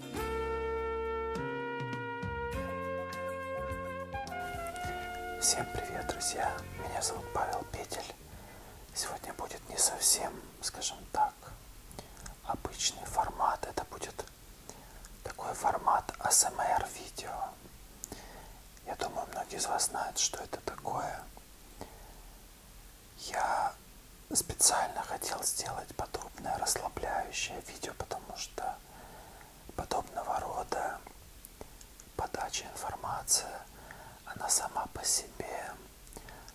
Всем привет, друзья! Меня зовут Павел Петель. Сегодня будет не совсем, скажем так, обычный формат. Это будет такой формат ASMR видео. Я думаю, многие из вас знают, что это такое. Я специально хотел сделать подобное расслабляющее видео, потому что подобного рода подача информации, она сама по себе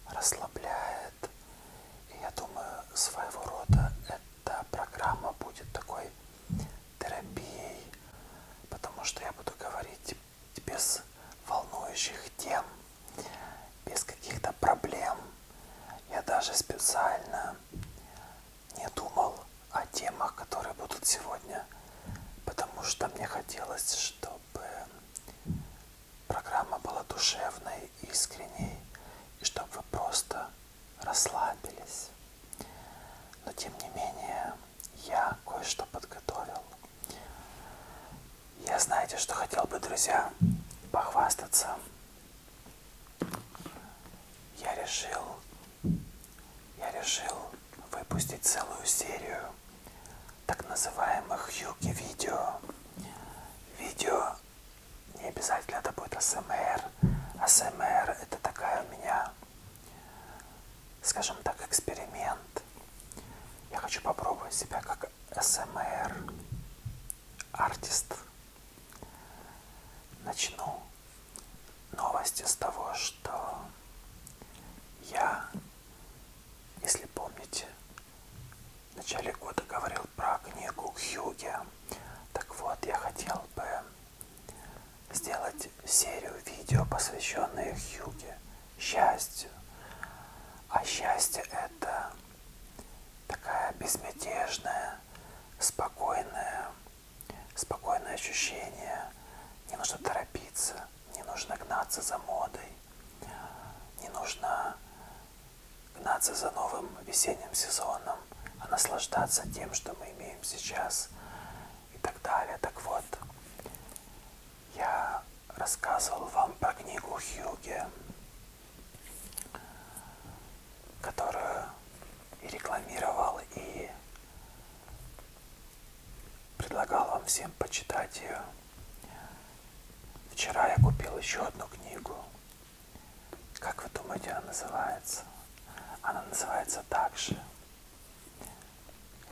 расслабляет. И я думаю, своего рода эта программа будет такой терапией, потому что я буду говорить без волнующих тем, без каких-то проблем. Я даже специально не думал о темах, которые будут сегодня, потому что мне хотелось, чтобы программа была душевной, искренней, и чтобы вы просто расслабились. Но тем не менее, я кое-что подготовил. Я знаете, что хотел бы, друзья, похвастаться я решил, я решил выпустить целую серию так называемых юки видео. Видео не обязательно это будет АСМР. АСМР это такая у меня, скажем так, эксперимент. Я хочу попробовать себя как СМР артист. Начну новости с того, что я, если помните, в начале года говорил про книгу Хьюге. Так вот, я хотел бы сделать серию видео, посвященные Хьюге, счастью. А счастье это такая безмятежная, спокойная, спокойное ощущение. Не нужно торопиться, не нужно гнаться за модой, не нужно гнаться за новым весенним сезоном, а наслаждаться тем, что мы имеем сейчас и так далее. Так вот, я рассказывал вам про книгу Хьюге которую и рекламировал, и предлагал вам всем почитать ее. Вчера я купил еще одну книгу. Как вы думаете, она называется? Она называется также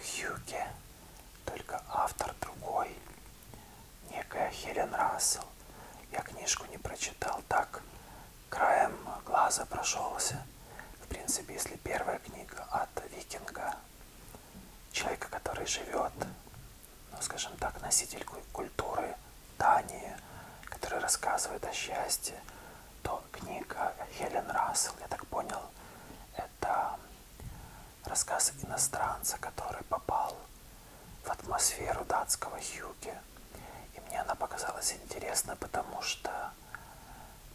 Хьюке, только автор другой некая Хелен Рассел. Я книжку не прочитал, так краем глаза прошелся. В принципе, если первая книга от викинга, человека, который живет, ну, скажем так, носитель культуры Дании, который рассказывает о счастье, то книга Хелен Рассел, я так понял, это рассказ иностранца, который попал в атмосферу датского юги. И мне она показалась интересна, потому что,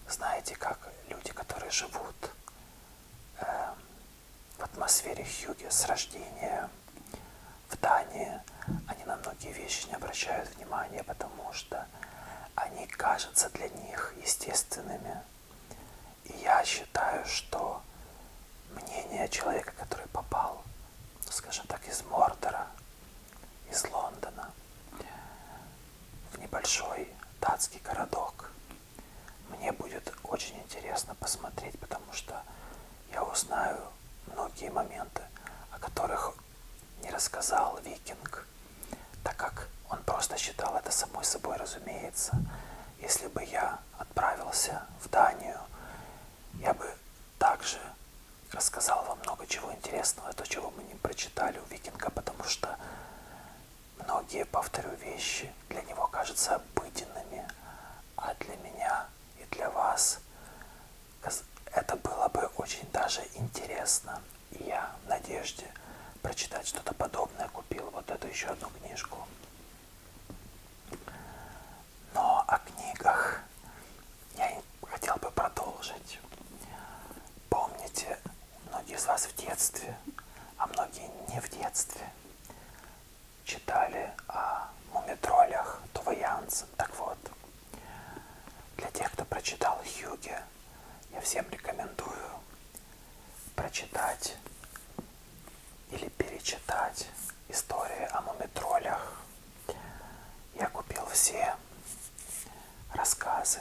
знаете, как люди, которые живут э, в атмосфере юги с рождения в Дании, они на многие вещи не обращают внимания, потому что они кажутся для них естественными. И я считаю, что мнение человека, который попал, скажем так, из Мордора, из Лондона, в небольшой датский городок, мне будет очень интересно посмотреть, потому что я узнаю многие моменты, о которых не рассказал Викинг, так как он просто считал это самой собой разумеется. Если бы я отправился в Данию, я бы также рассказал вам много чего интересного, то, чего мы не прочитали у Викинга, потому что многие, повторю, вещи для него кажутся обыденными, а для меня и для вас это было бы очень даже интересно. И я в надежде прочитать что-то подобное купил вот эту еще одну книжку. Но о книгах я хотел бы продолжить. Помните, многие из вас в детстве, а многие не в детстве, читали о мумитролях Това Янсен. Так вот, для тех, кто прочитал Хьюге, я всем рекомендую прочитать или перечитать истории о мумитролях. Я купил все рассказы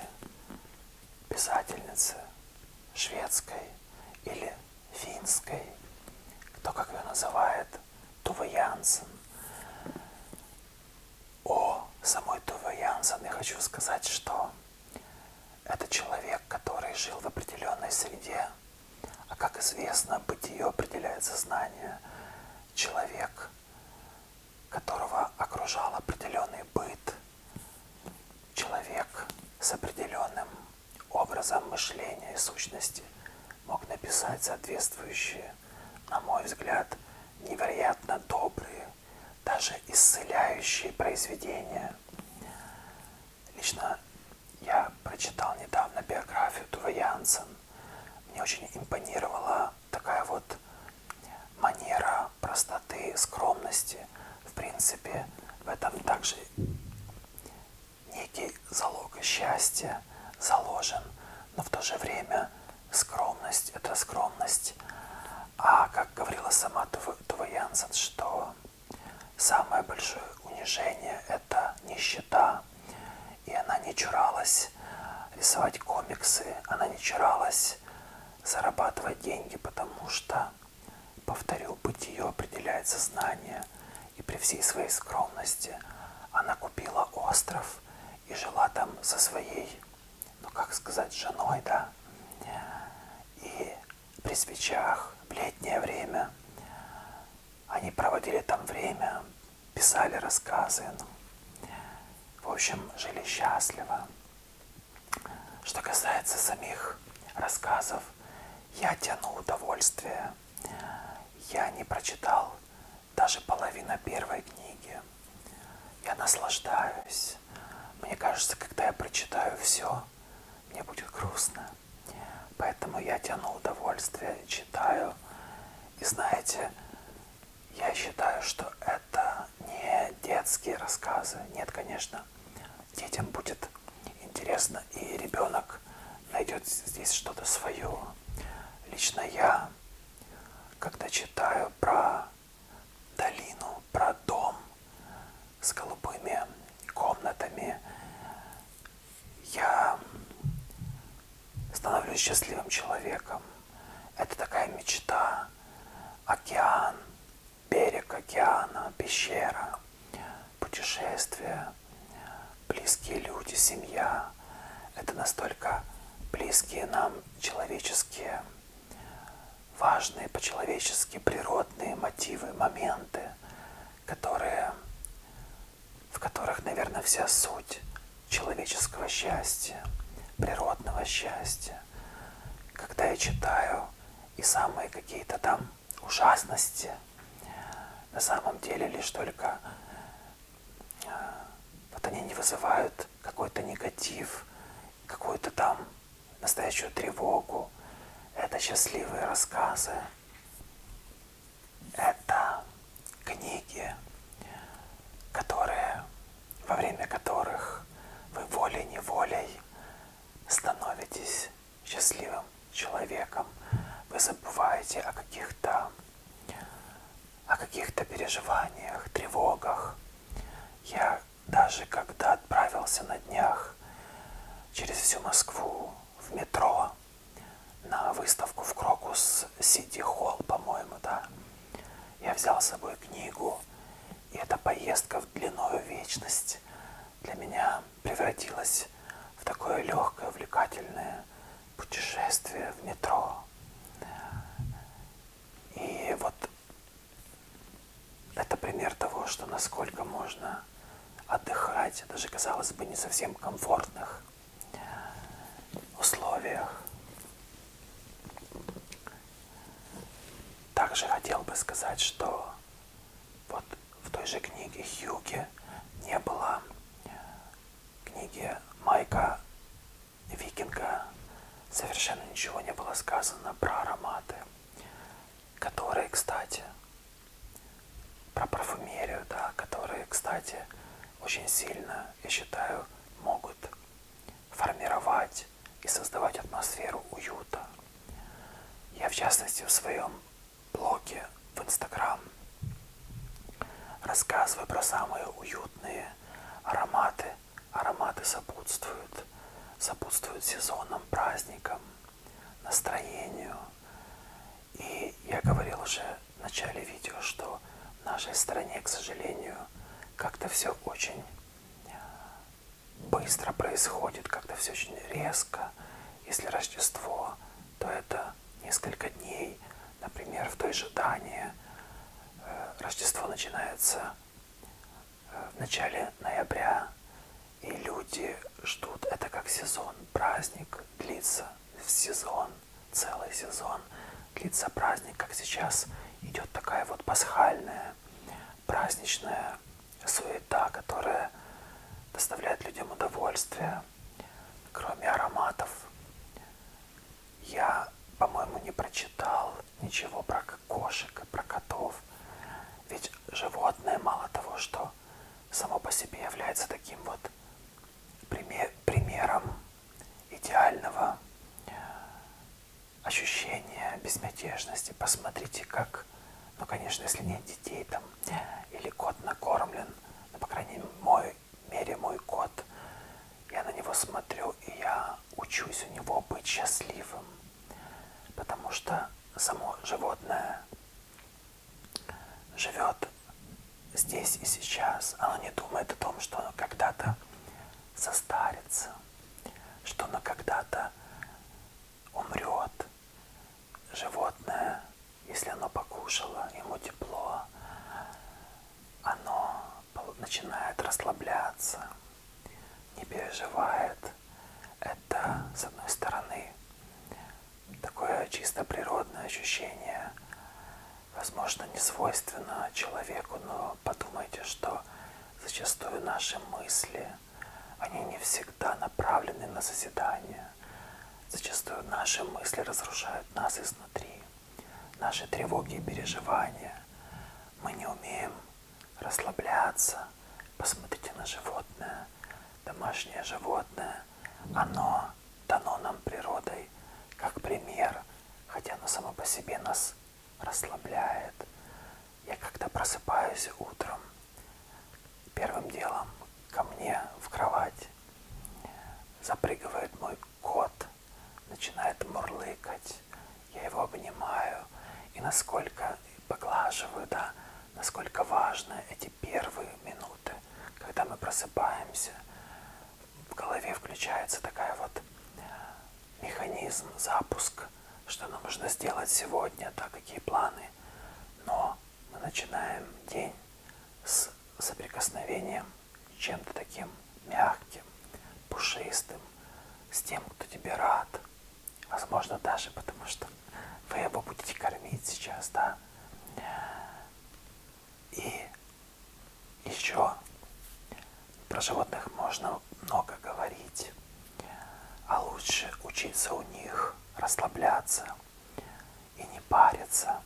писательницы шведской или финской, кто как ее называет, Тува Янсен. О самой Туве Янсен я хочу сказать, что это человек, который жил в определенной среде, а как известно, бытие определяет сознание. Человек, которого окружал определенный быт, человек с определенным образом мышления и сущности мог написать соответствующие, на мой взгляд, невероятно добрые, даже исцеляющие произведения. Лично я прочитал недавно биографию Тува Янсен. Мне очень импонировала такая вот манера простоты, скромности. В принципе, в этом также некий залог счастья заложен, но в то же время скромность – это скромность. А как говорила сама Тува Янсен, что Самое большое унижение – это нищета. И она не чуралась рисовать комиксы, она не чуралась зарабатывать деньги, потому что, повторю, быть ее определяет сознание. И при всей своей скромности она купила остров и жила там со своей, ну как сказать, женой, да. И при свечах в летнее время. Они проводили там время, писали рассказы. Ну, в общем, жили счастливо. Что касается самих рассказов, я тяну удовольствие. Я не прочитал даже половина первой книги. Я наслаждаюсь. Мне кажется, когда я прочитаю все, то мне будет грустно. Поэтому я тяну удовольствие, читаю. И знаете, я считаю, что это не детские рассказы. Нет, конечно, детям будет интересно, и ребенок найдет здесь что-то свое. Лично я, когда читаю про долину, про дом с голубыми комнатами. Я становлюсь счастливым человеком. Это такая мечта. Океан, берег океана, пещера, путешествия, близкие люди, семья. Это настолько близкие нам человеческие важные по-человечески природные мотивы, моменты, которые, в которых, наверное, вся суть человеческого счастья, природного счастья. Когда я читаю и самые какие-то там ужасности, на самом деле лишь только э, вот они не вызывают какой-то негатив, какую-то там настоящую тревогу. Это счастливые рассказы. Это книги, которые, во время которых вы волей-неволей становитесь счастливым человеком. Вы забываете о каких-то о каких-то переживаниях, тревогах. Я даже когда отправился на днях через всю Москву в метро на выставку в Крокус Сити Холл, по-моему, да, я взял с собой книгу, и эта поездка в длинную вечность для меня превратилась в такое легкое, увлекательное путешествие в метро. И вот это пример того, что насколько можно отдыхать, даже, казалось бы, не совсем комфортных условиях. Также хотел бы сказать, что вот в той же книге Хьюги не было книги Майка викинга совершенно ничего не было сказано про ароматы, которые, кстати, про парфюмерию, да, которые, кстати, очень сильно, я считаю, могут формировать и создавать атмосферу уюта. Я, в частности, в своем блоге в Инстаграм рассказываю про самые уютные ароматы ароматы сопутствуют, сопутствуют сезонным праздникам, настроению. И я говорил уже в начале видео, что в нашей стране, к сожалению, как-то все очень э, быстро происходит, как-то все очень резко. Если Рождество, то это несколько дней. Например, в той же Дании э, Рождество начинается в начале ноября, и люди ждут, это как сезон, праздник длится в сезон, целый сезон длится праздник, как сейчас идет такая вот пасхальная, праздничная суета, которая доставляет людям удовольствие, кроме ароматов. Я, по-моему, не прочитал ничего про кошек, про котов. Ведь животное мало того, что само по себе является таким вот примером идеального э, ощущения безмятежности. Посмотрите, как, ну, конечно, если нет детей там, или кот накормлен, ну, по крайней мере, мой кот, я на него смотрю, и я учусь у него быть счастливым, потому что само животное живет здесь и сейчас. Оно не думает о том, что оно когда-то состарится, что оно когда-то умрет. Животное, если оно покушало, ему тепло, оно начинает расслабляться, не переживает. Это, с одной стороны, такое чисто природное ощущение, возможно, не свойственно человеку, но подумайте, что зачастую наши мысли, они не всегда направлены на созидание. Зачастую наши мысли разрушают нас изнутри наши тревоги и переживания. Мы не умеем расслабляться. Посмотрите на животное. Домашнее животное, оно дано нам природой как пример, хотя оно само по себе нас расслабляет. Я когда просыпаюсь утром, первым делом ко мне в кровать запрыгивает мой кот, начинает мурлыкать, я его обнимаю, и насколько поглаживаю, да, насколько важны эти первые минуты, когда мы просыпаемся, в голове включается такая вот механизм, запуск, что нам нужно сделать сегодня, да, какие планы. Но мы начинаем день с соприкосновением чем-то таким мягким, пушистым, с тем, кто тебе рад. Возможно, даже потому что вы его будете кормить сейчас, да? И еще про животных можно много говорить, а лучше учиться у них расслабляться и не париться.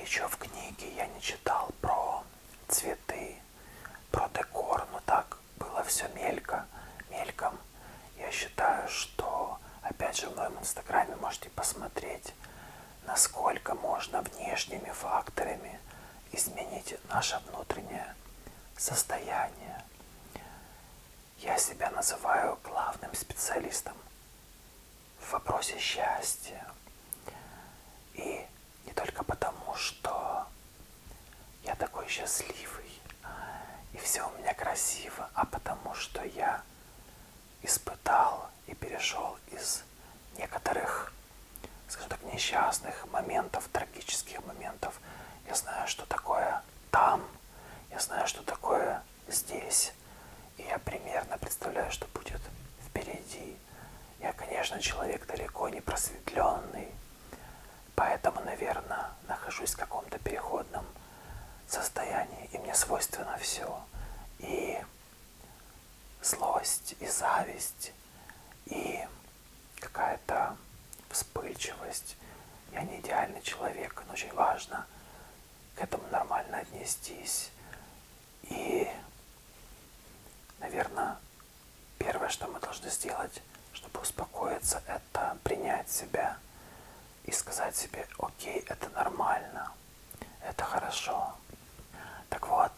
Еще в книге я не читал про цветы, про декор, но так было все мелько, мельком. Я считаю, что, опять же, в моем инстаграме можете посмотреть, насколько можно внешними факторами изменить наше внутреннее состояние. Я себя называю главным специалистом в вопросе счастья. И не только потому, что я такой счастливый, и все у меня красиво, а потому что я испытал и перешел из некоторых, скажем так, несчастных моментов, трагических моментов. Я знаю, что такое там, я знаю, что такое здесь. И я примерно представляю, что будет впереди. Я, конечно, человек далеко не просветленный, поэтому, наверное, нахожусь в каком-то переходном состоянии, и мне свойственно все. И злость, и зависть, и какая-то вспыльчивость. Я не идеальный человек, но очень важно к этому нормально отнестись и, наверное, первое, что мы должны сделать, чтобы успокоиться, это принять себя и сказать себе, окей, это нормально, это хорошо. Так вот,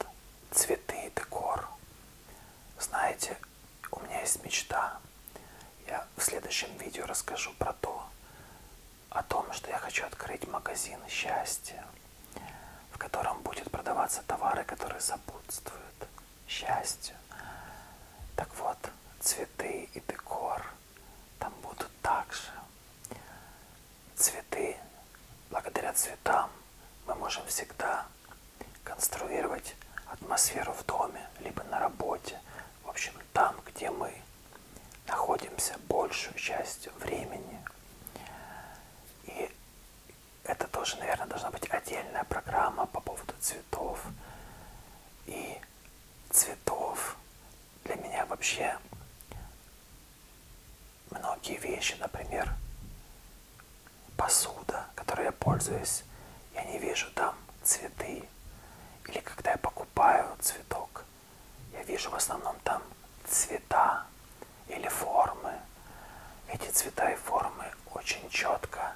цветы, декор. Знаете, у меня есть мечта. Я в следующем видео расскажу про то, о том, что я хочу открыть магазин счастья, в котором будут продаваться товары, которые сопутствуют счастью. Так вот, цветы и декор там будут также. Цветы, благодаря цветам, мы можем всегда конструировать атмосферу в доме, либо на работе, в общем, там, где мы находимся большую часть времени. И это тоже, наверное, должна быть отдельная программа по поводу цветов. И цветов для меня вообще многие вещи, например, посуда, которой я пользуюсь, я не вижу там цветы. Или когда я покупаю цветок, я вижу в основном там цвета или формы. Эти цвета и формы очень четко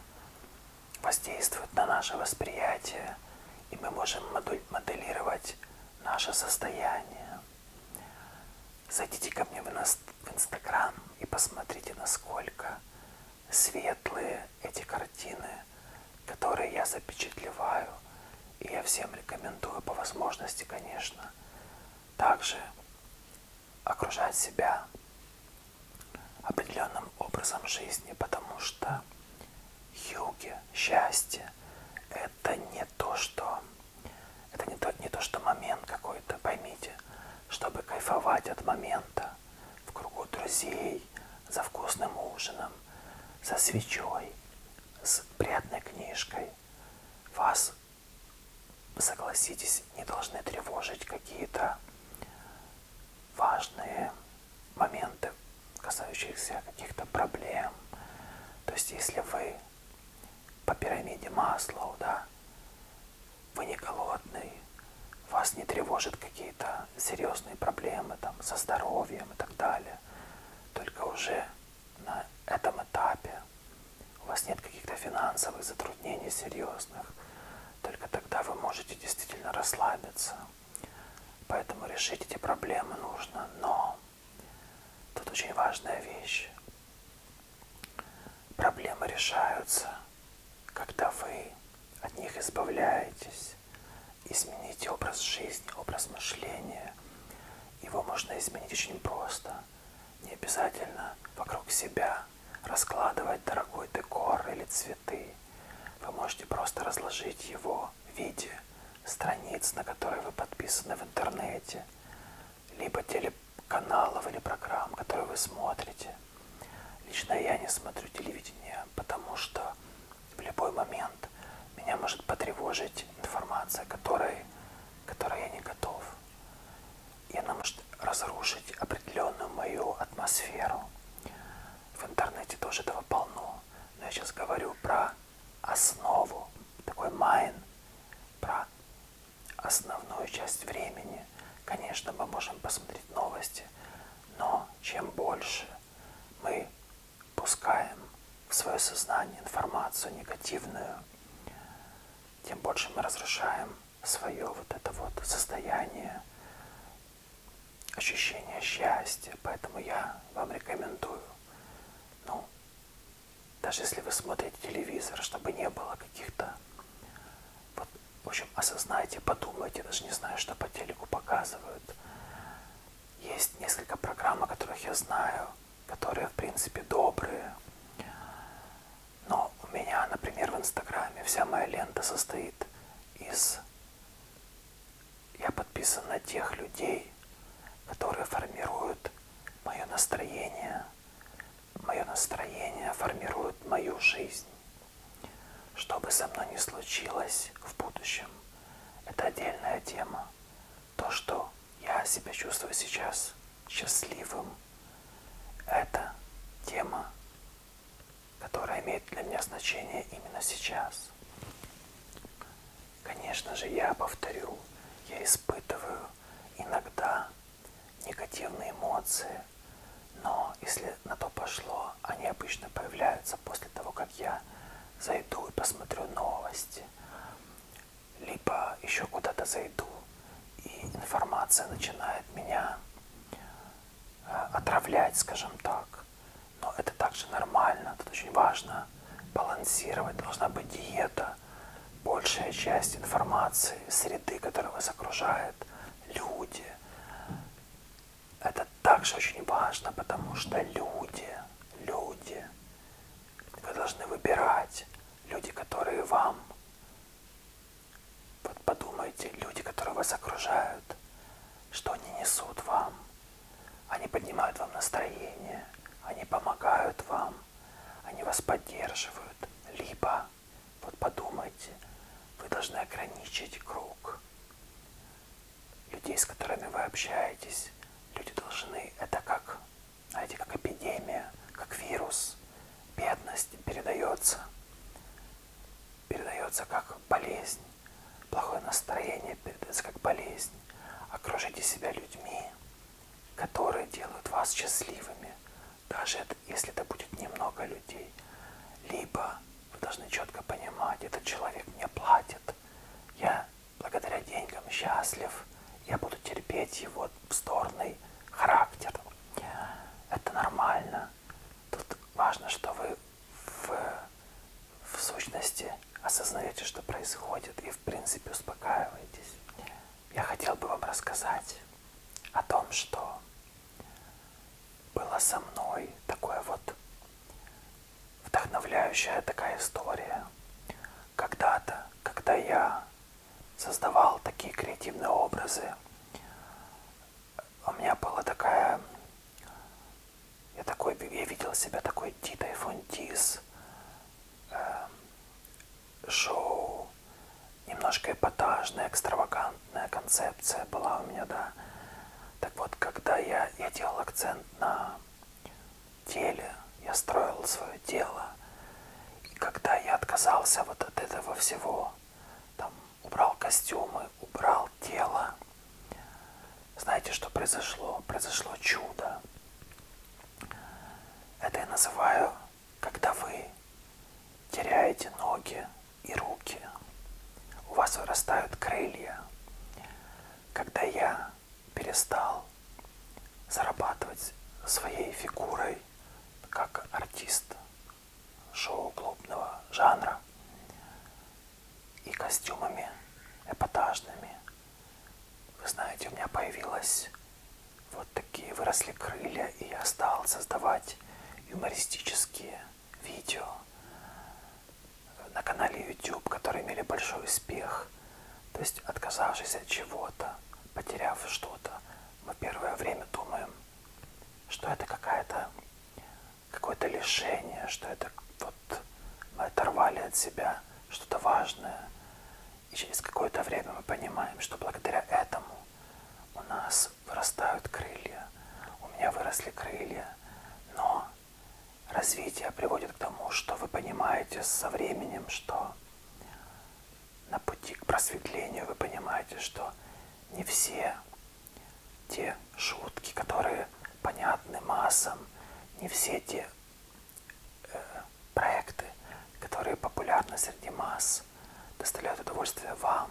воздействуют на наше восприятие, и мы можем моделировать наше состояние. Зайдите ко мне в Инстаграм и посмотрите, насколько светлые эти картины, которые я запечатлеваю и я всем рекомендую по возможности, конечно, также окружать себя определенным образом жизни, потому что юги, счастье – это не то, что это не то, не то, что момент какой-то, поймите, чтобы кайфовать от момента в кругу друзей, за вкусным ужином, за свечой, с приятной книжкой. Вас, согласитесь, не должны тревожить какие-то важные моменты, касающиеся каких-то проблем. То есть, если вы по пирамиде Маслоу, да, вы не голодный, вас не тревожат какие-то серьезные проблемы там со здоровьем и так далее, только уже на этом этапе у вас нет каких-то финансовых затруднений серьезных, только тогда вы можете действительно расслабиться. Поэтому решить эти проблемы нужно. Но тут очень важная вещь. Проблемы решаются, когда вы от них избавляетесь изменить. Изменить образ жизни, образ мышления. Его можно изменить очень просто. Не обязательно вокруг себя раскладывать дорогой декор или цветы. Вы можете просто разложить его в виде страниц, на которые вы подписаны в интернете, либо телеканалов или программ, которые вы смотрите. Лично я не смотрю телевидение, потому что в любой момент меня может потревожить информация, которой, которой я не готов. И она может разрушить определенную мою атмосферу. В интернете тоже этого полно. Но я сейчас говорю про основу, такой майн, про основную часть времени. Конечно, мы можем посмотреть новости, но чем больше мы пускаем в свое сознание информацию негативную, тем больше мы разрушаем свое вот это вот состояние, ощущение счастья. Поэтому я вам рекомендую, ну, даже если вы смотрите телевизор, чтобы не было каких-то, вот, в общем, осознайте, подумайте, даже не знаю, что по телеку показывают, есть несколько программ, о которых я знаю, которые, в принципе, добрые. Но у меня, например, в Инстаграме вся моя лента состоит из... Я подписан на тех людей, которые формируют мое настроение. Мое настроение формирует мою жизнь. Что бы со мной ни случилось в будущем – это отдельная тема. То, что я себя чувствую сейчас счастливым, это тема, которая имеет для меня значение именно сейчас. Конечно же, я повторю, я испытываю иногда негативные эмоции, но если на то пошло, но они обычно появляются после того, как я зайду и посмотрю новости, либо еще куда-то зайду, и информация начинает меня э, отравлять, скажем так. Но это также нормально, тут очень важно балансировать, должна быть диета. Большая часть информации, среды, которая вас окружает, люди, это также очень важно, потому что люди, люди, вы должны выбирать люди, которые вам, вот подумайте, люди, которые вас окружают, что они несут вам, они поднимают вам настроение, они помогают вам, они вас поддерживают, либо, вот подумайте, вы должны ограничить круг людей, с которыми вы общаетесь. Люди должны, это как, знаете, как эпидемия, как вирус. Бедность передается, передается как болезнь. Плохое настроение передается как болезнь. Окружите себя людьми, которые делают вас счастливыми. Даже если это будет немного людей. Либо вы должны четко понимать, этот человек мне платит, я благодаря деньгам счастлив, я буду терпеть его вздорный характер. Это нормально. Тут важно, что вы в, в сущности осознаете, что происходит, и в принципе успокаиваетесь. Я хотел бы вам рассказать о том, что было со мной такое вот вдохновляющая такая история. Когда-то, когда я создавал такие креативные образы, у меня была такая... Я, такой, я видел себя такой Дитой Фонтис, э, шоу, немножко эпатажное, экстравагантное акцентная концепция была у меня, да. Так вот, когда я, я делал акцент на теле, я строил свое тело, и когда я отказался вот от этого всего, там, убрал костюмы, убрал тело, знаете, что произошло? Произошло чудо. Это я называю, когда вы теряете ноги, и руки. У вас вырастают крылья. Когда я перестал зарабатывать своей фигурой как артист шоу клубного жанра и костюмами эпатажными, вы знаете, у меня появилась вот такие выросли крылья, и я стал создавать юмористические видео на канале YouTube, которые имели большой успех. То есть, отказавшись от чего-то, потеряв что-то, мы первое время думаем, что это какая-то какое-то лишение, что это вот мы оторвали от себя что-то важное. И через какое-то время мы понимаем, что благодаря этому у нас нас вырастают крылья. У меня выросли крылья. Но развитие приводит к тому, что вы понимаете со временем, что на пути к просветлению вы понимаете, что не все те шутки, которые понятны массам, не все те э, проекты, которые популярны среди масс, вас доставляют удовольствие вам,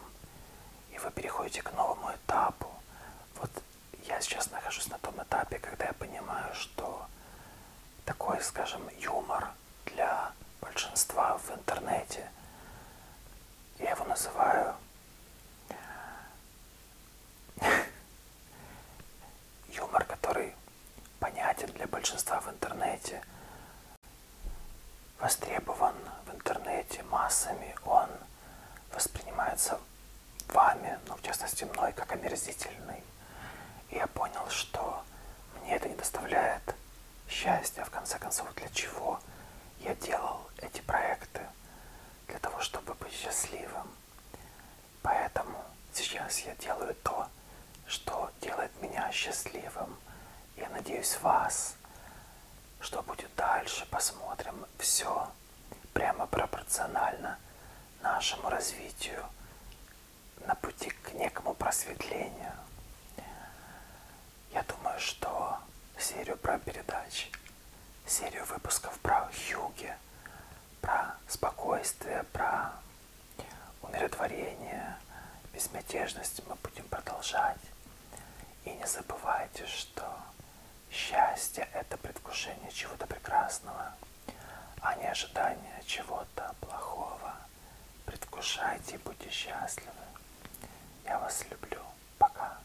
и вы переходите к новому этапу. Вот я сейчас нахожусь на том этапе, когда я понимаю, что такой, скажем, юмор для большинства в интернете, я его называю юмор, который понятен для большинства в интернете, востребован в интернете массами, он воспринимается вами, ну, в частности, мной, как омерзительный. И я понял, что мне это не доставляет счастья, в конце концов, для чего я делал эти проекты, для того, чтобы быть счастливым. Поэтому сейчас я делаю то, что делает меня счастливым. Я надеюсь, вас что будет дальше, посмотрим. Все прямо пропорционально нашему развитию на пути к некому просветлению. Я думаю, что серию про передач, серию выпусков про Хьюги, про спокойствие, про умиротворение, безмятежность мы будем продолжать. И не забывайте, что счастье – это предвкушение чего-то прекрасного, а не ожидание чего-то плохого. Предвкушайте и будьте счастливы. Я вас люблю. Пока.